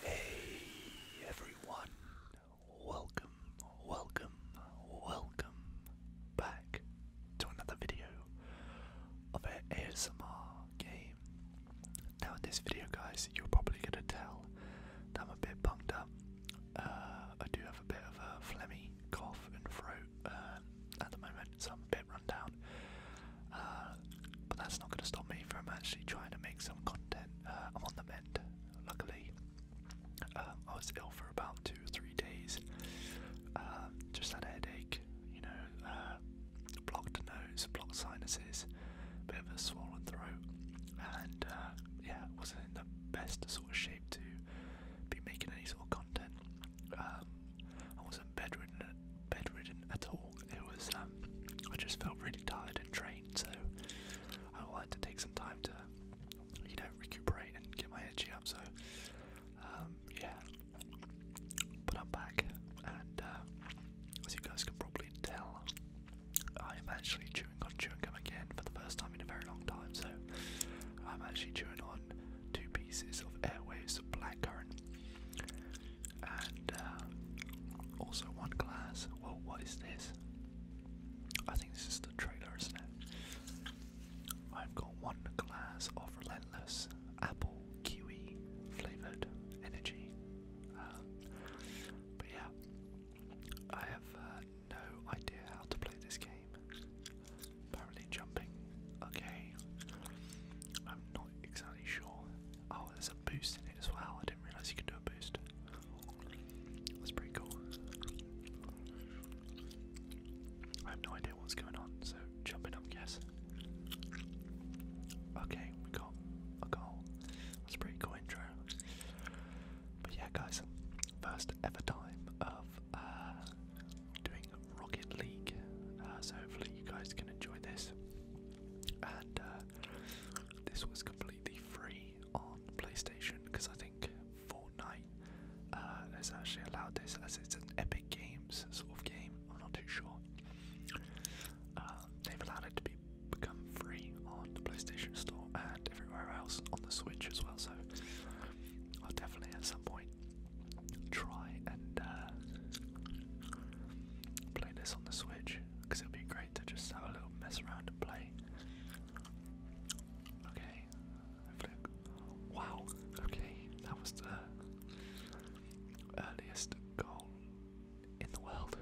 Hey everyone, welcome, welcome, welcome back to another video of an ASMR game. Now in this video guys, you're probably gonna tell that I'm a bit bunged up. Uh, I do have a bit of a phlegmy cough and throat uh, at the moment, so I'm a bit run down. Uh, but that's not gonna stop me from actually trying to make some content. I'm on the mend, luckily. Um, I was ill for about two or three days. just had a headache, you know, blocked nose, blocked sinuses, bit of a swollen throat, and uh, yeah, wasn't in the best sort of shape to be making any sort of content. Um, I wasn't bedridden, bedridden at all. It was um, I just felt really tired and drained, so I wanted to take some time to you know recuperate and get my energy up. So um, yeah, but I'm back, and uh, as you guys can probably tell, I am actually chewing on chewing gum again for the first time in a very long time. So I'm actually chewing on two pieces of Airwaves blackcurrant, and uh, also one glass. Well, what is this? I think this is the trailer, isn't it? I've got one glass of Relentless apple kiwi flavored energy. Um, but yeah, I have uh, no idea how to play this game. Apparently, jumping. Okay, I'm not exactly sure. Oh, there's a boost in it as well. I didn't realize you could do a boost. That's pretty cool. I have no idea what's going on, so jumping up guess. Okay, we got a goal. That's a pretty cool intro. But yeah guys, first ever time of uh doing Rocket League. Uh, so hopefully you guys can enjoy this. And uh this was completely free on PlayStation because I think Fortnite uh, has actually allowed this as it's an Epic Games sort of game. I'm not too sure. Um, they've allowed it to become free on the PlayStation Store and everywhere else on the Switch as well. So I'll definitely at some point try and uh, play this on the Switch because it'll be great to just have a little mess around and play. Okay, wow. Okay, that was earliest goal in the world.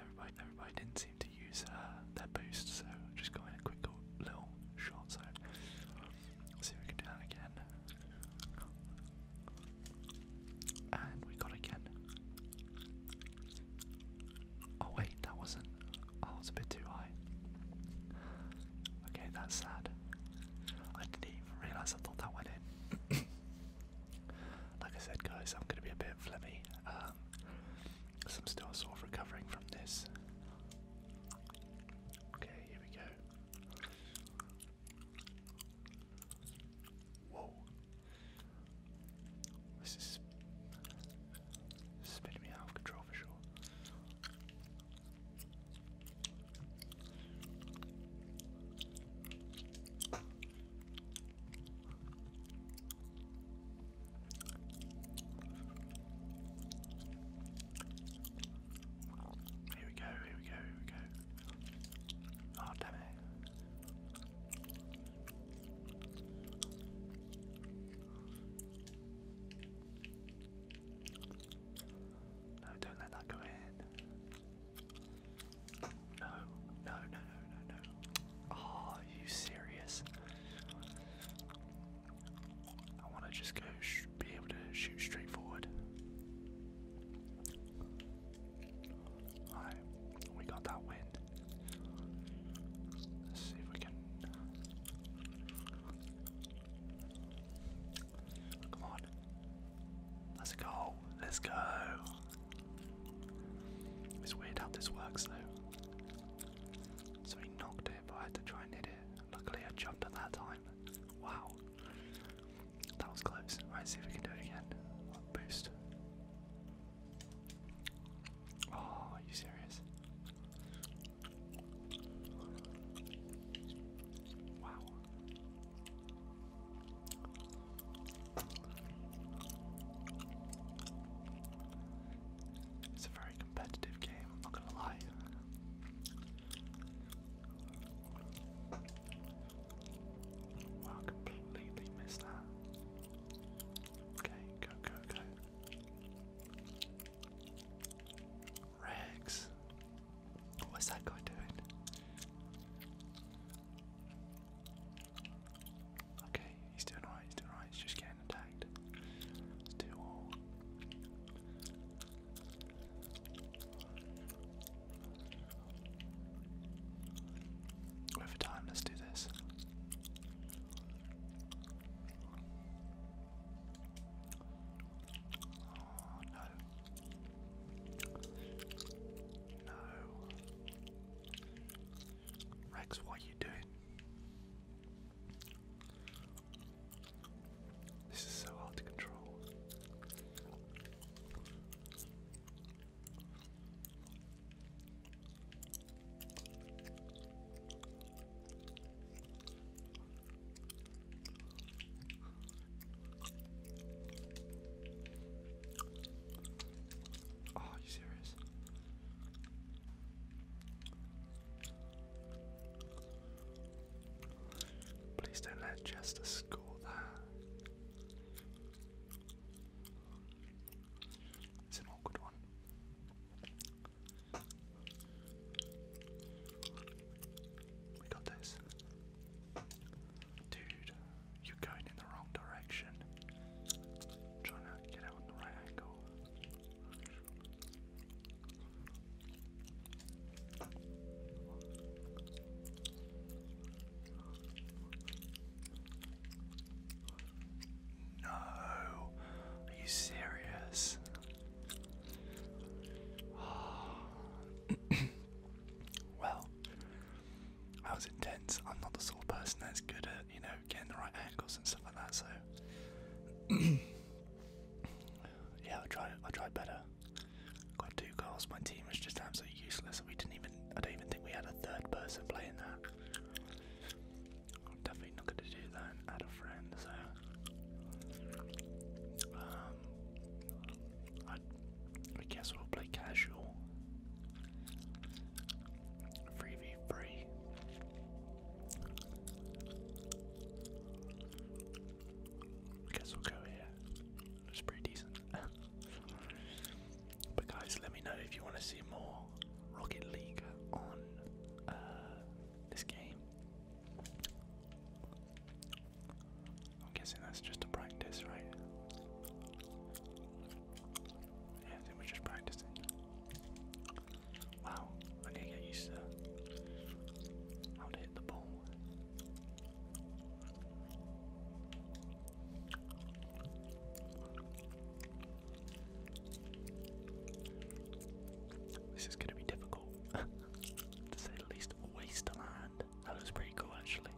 Everybody, everybody didn't seem to use uh, their boost, so just going in a quick little shot. So let's see if we can do that again. And we got again. Oh wait, that wasn't. Oh, that was a bit too high. Okay, that's sad. I didn't even realise I thought that went in. like I said, guys, I'm going to be a bit flimmy. Um, so I'm still sort of recovering from this. Okay, here we go. Whoa. This is spinning me out of control for sure. Here we go, here we go, here we go. Oh, damn it. No, don't let that go in. No, no, no, no, no, are you serious? I want to just go be able to shoot straight forward. Alright, we got that win. Let's see if we can. Come on. Let's go. Let's go. It's weird how this works though. So he knocked it, but I had to try and hit it. Luckily I jumped at that time. Wow. That was close. Right, see if we can do it again. Boost. Oh, are you serious? Wow. It's a very competitive game, I'm not gonna lie. Wow, completely missed that. Okay, go, go, go. Rags. What's that guy doing? Okay, he's doing alright, he's doing alright, he's just getting attacked. Let's do all. Over time, let's do this no. No. Rex, what are you doing? This is so hard to control. Oh, are you serious? Please don't let Chester score that. It's an awkward one. We got this. Dude, you're going in the wrong direction. trying to get out on the right angle. No, are you serious? well, that was intense. I'm not the sort of person that's good at, you know, getting the right angles and stuff like that, so yeah, I tried I tried better. Got two goals, my team was just absolutely useless. We didn't even I don't even think we had a third person playing that. I'm definitely not gonna do that friend, so um, I, guess we'll play casual. 3 v Guess we'll go here. It's pretty decent. but guys, let me know if you want to see more Rocket League on uh, this game. I'm guessing that's just a practice, right? Yeah, we're just practicing. Wow, I need to get used to how to hit the ball. This is going to be difficult. to say the least, wasteland. That was pretty cool actually.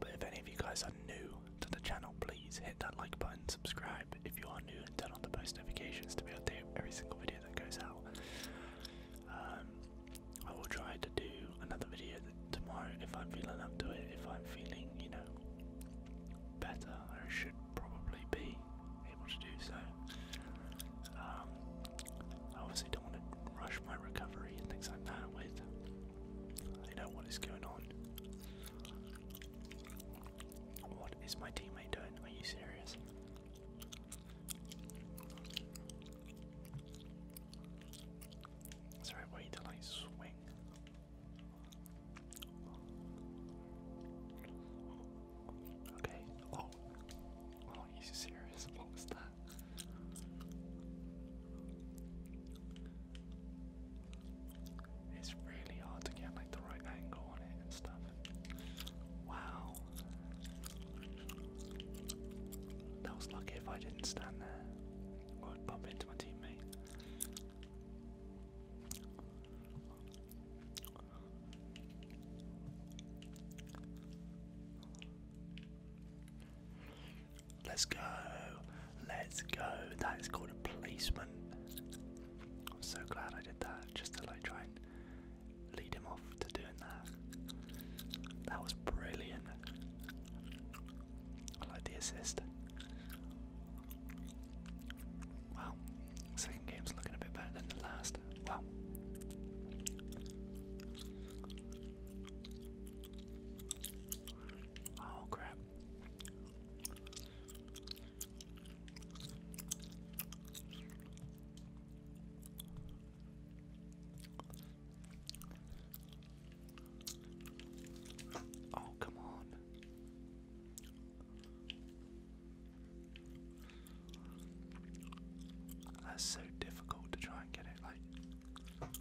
But if any of you guys are new to the channel, please hit that like button, subscribe if you are new, and turn on the post notifications to be updated every single video that goes out. Um, I will try to do another video tomorrow if I'm feeling up to it, if I'm feeling, you know, better or should probably be able to do so. Um, I obviously don't want to rush my recovery and things like that with you know what is going on. What is my teammate doing? Are you serious? Sorry, wait till I swing. Okay. Oh. Oh, he's serious. What was that? It's really hard to get like the right angle on it and stuff. Wow. That was lucky if I didn't stand there. or bump into my teammate. Let's go. Let's go. That is called a placement. I'm so glad I did that just to like try and lead him off to doing that. That was brilliant. I like the assist. Wow, second game's looking a bit better than the last. Wow. Oh crap. Oh, come on. That's so difficult to try and get it like.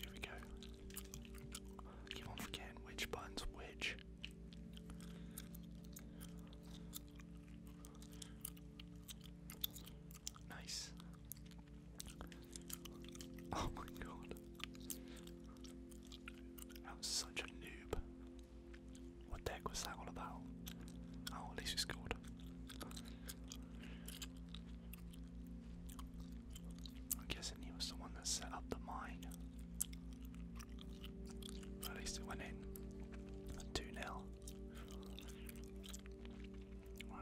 Here we go. I on forgetting which button's which. Nice. Oh my god. That was such a noob. What the was that all about? Oh, at least we scored. I'm guessing the one that set up the mine. At least it went in. 2 0.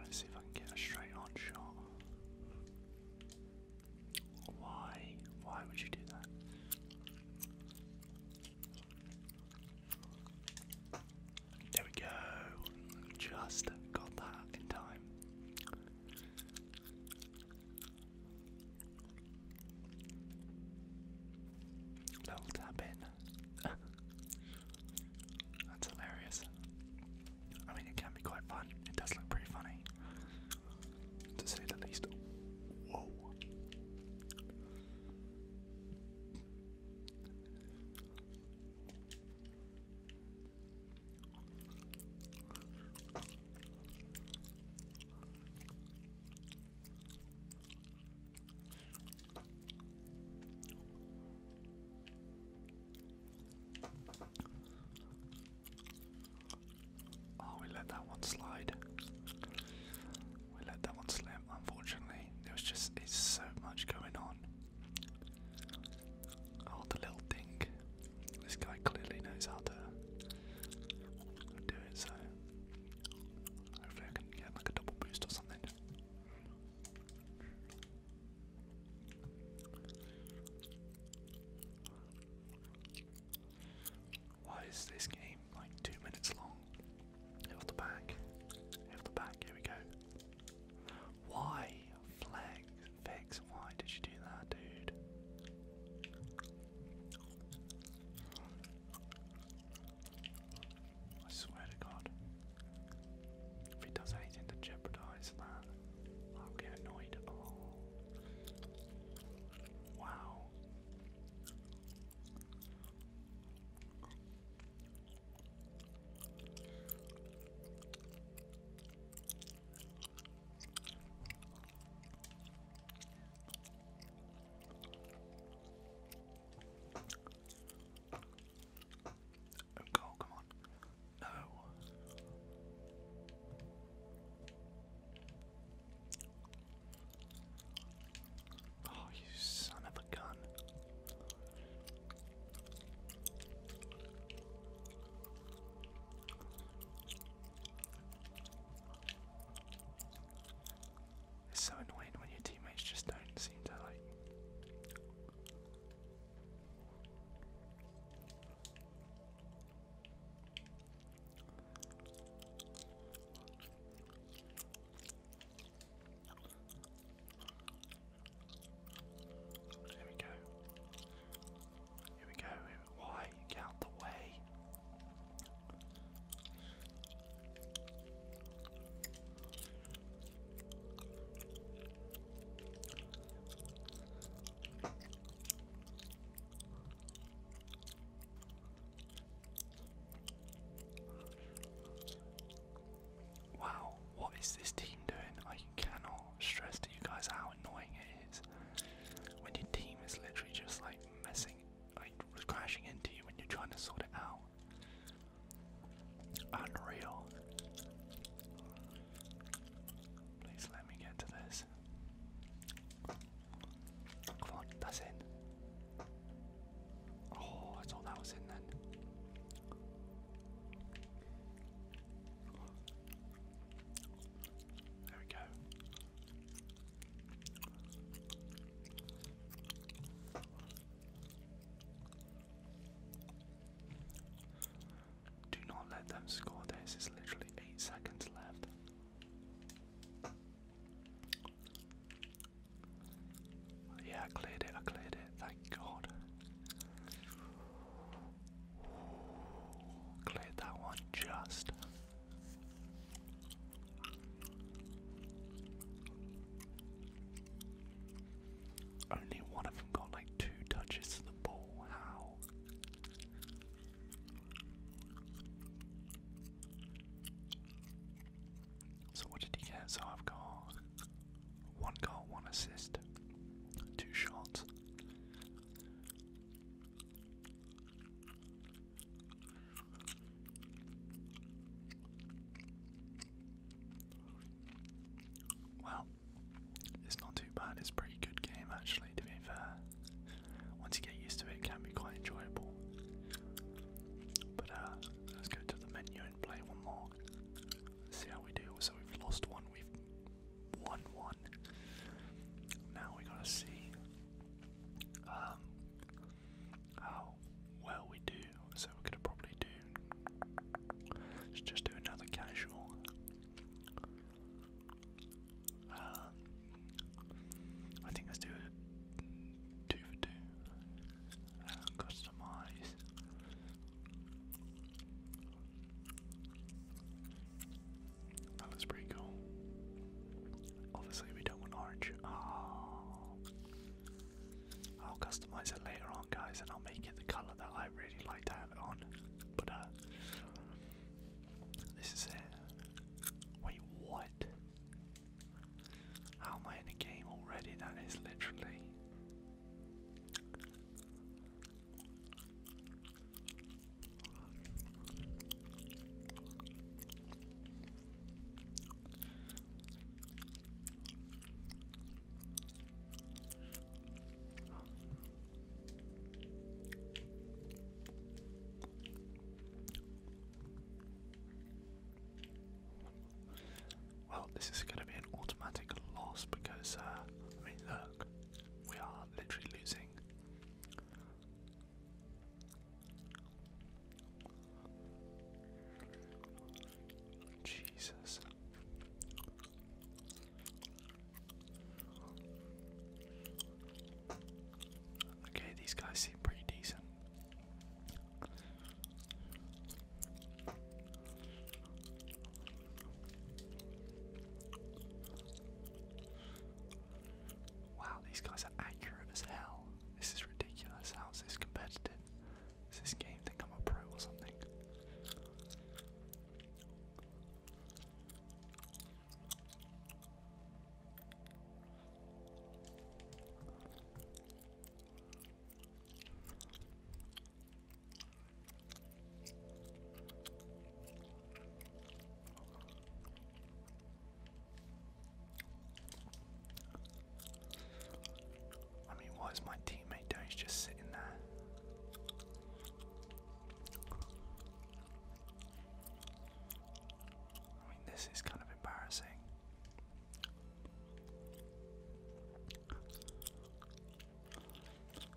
let's see if I can get a straight on shot. Why? Why would you do that? There we go. Just got that in time. Little tap in. That's hilarious. I mean, it can be quite fun. It does look pretty funny, to say the least. Oh, we let that one slide. We let that one slip, unfortunately. There was just it's so much going on. Oh, the little thing. This guy clearly knows how to do it, so hopefully I can get like a double boost or something. Why is this game like two minutes long? Hit the back. Hit the back, here we go. Why? Flags. Fix, why did you do that, dude? I swear to God, if he does anything to jeopardize that, I'll get annoyed. Oh. Wow. Oh, come on. No. Oh, you son of a gun. It's so annoying when your teammates just don't seem to like. There we go. Here we go. Why get the way? Wow, what is this team doing? I cannot stress to you guys how annoying it is when your team is literally just like messing, like crashing into you when you're trying to sort it out. Unreal. Please let me get to this. Come on, that's in. Oh, I thought that was in then. There we go. Do not let them score this. It's literally eight seconds left. Yeah, I cleared it. I cleared it. Thank God. Cleared that one just. Only one of them got like two touches to the ball. How? So, what did he get? So, I've got one goal, one assist, two shots. Well, it's not too bad, it's a pretty good game actually, to be fair. Once you get used to it, it can be quite enjoyable. But uh, let's go to the menu and play one more. see how we do. So we've lost one, we've won one. Now we gotta see um, how well we do. So we're gonna probably do let's just do another casual. Um, I think let's do two for two. Uh, customize. That was pretty cool. Obviously, we don't want orange. Oh. I'll customize it later on, guys, and I'll make it the color that I really like to have it on. But uh, this is it. Wait, what? How am I in a game already? That is literally. Well, this is going to be an automatic loss because, uh, I mean, look, we are literally losing Jesus. Okay, these guys seem pretty decent. Wow, these guys are accurate as hell. This is ridiculous. How is this competitive? Is this game think i a pro or something? I mean, what is my teammate doing? He's just sitting there. I mean, this is kind of embarrassing.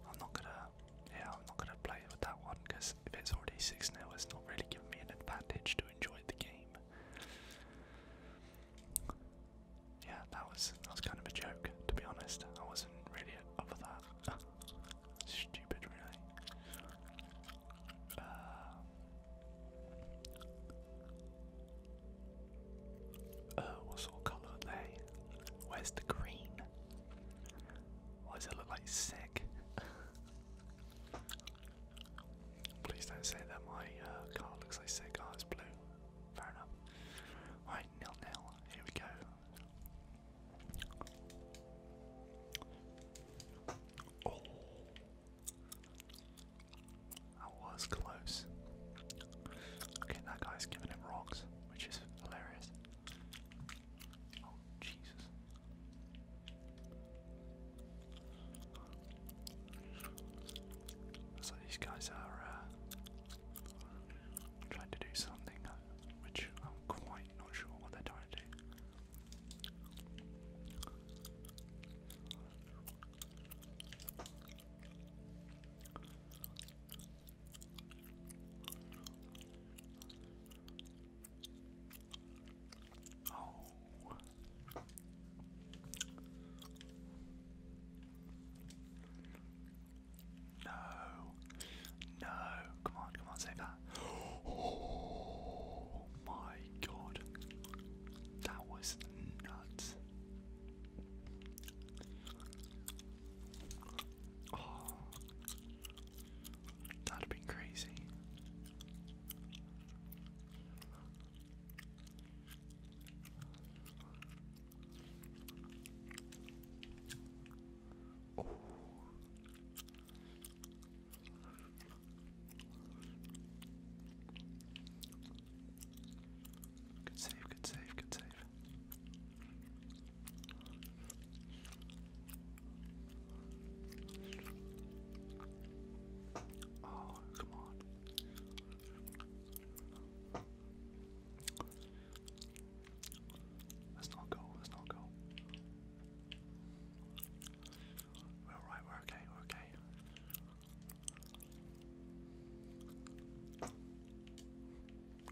I'm not gonna, yeah, I'm not gonna play with that one because if it's already 6 now, it's not really giving me an advantage to enjoy the game. Yeah, that was that was kind of a joke, to be honest. I wasn't really up for that. Stupid, really. Uh, uh, what colour are Where's the green? Why does it look like sick? Please don't say that my uh, car looks like sick. Oh, it's blue. Fair enough. Alright, nil nil. Here we go. Oh, was close. Okay, that guy's giving him rocks, which is hilarious. Oh, Jesus. So these guys are uh, trying to do something uh, which I'm quite not sure what they're trying to do. Oh. No. No. Come on, come on, save that. Oh my god. That was nuts. Oh, that'd be crazy. Oh. Good save, good save, good save safe. Oh, come on. Let's not go, let's not go. We're alright, we're okay, we're okay. No.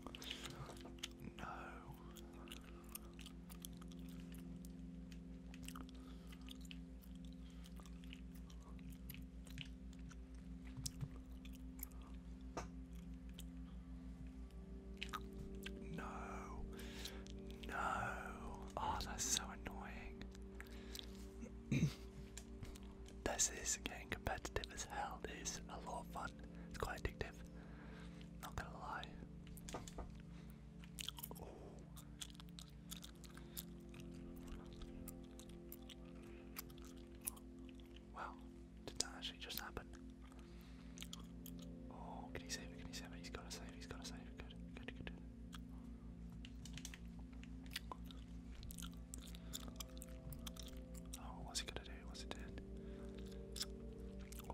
No. No. Oh, that's so annoying. this is getting competitive as hell. It is a lot of fun it's quite addictive. Not gonna lie. Wow, did that actually just happen? Oh, can he save it? Can he save it? He's got to save it. He's got to save it. Good, good, good. Oh, what's he gonna do? What's he doing? Oh.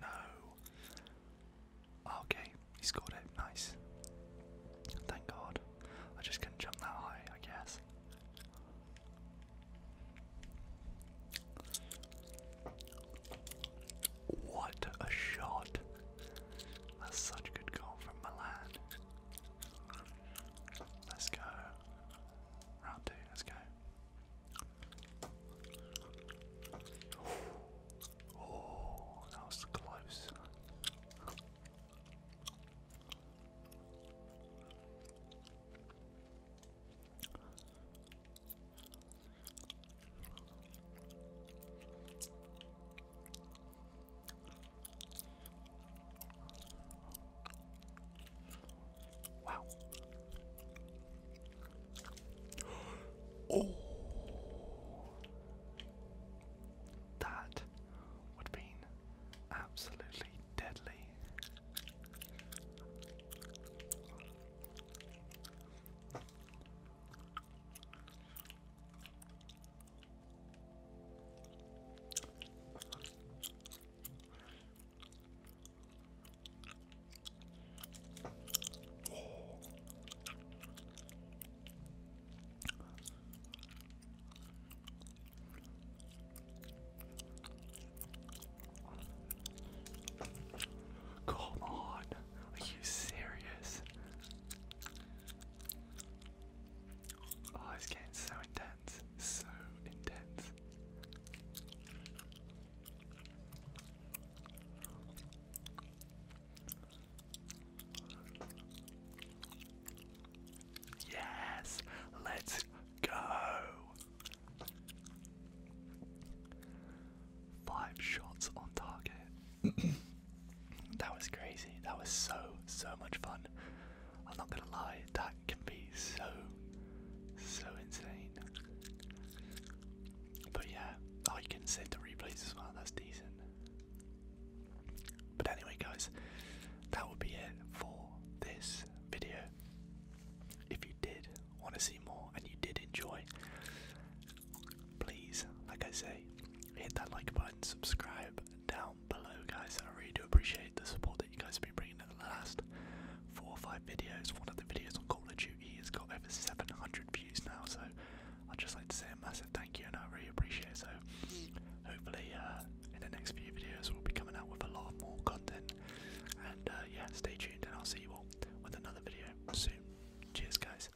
No. Okay, he scored it. Nice. Thank God. I just couldn't jump that high, I guess. What a shot. That's such a good call from Milan. Let's go. Round two, let's go. Oh, that was close. Wow. Oh. That would have absolutely deadly. Come on, are you serious? Oh, it's getting so intense, so intense. Yes, let's go. Five shots on target. that was crazy. That was so, so much fun. I'm not gonna lie, that can be so, so insane. But yeah, I can save the replays as well, that's decent. But anyway, guys, that would be it for this video. If you did want to see more and you did enjoy, please, like I say, hit that like button, subscribe down below, guys. I really do appreciate the support that you guys have been bringing in the last four or five videos. One of the videos on Call of Duty has got over 700 views now, so I'd just like to say a massive thank you, and I really appreciate it. So, hopefully, uh, in the next few videos, we'll be coming out with a lot more content. And uh, yeah, stay tuned, and I'll see you all with another video soon. Cheers, guys.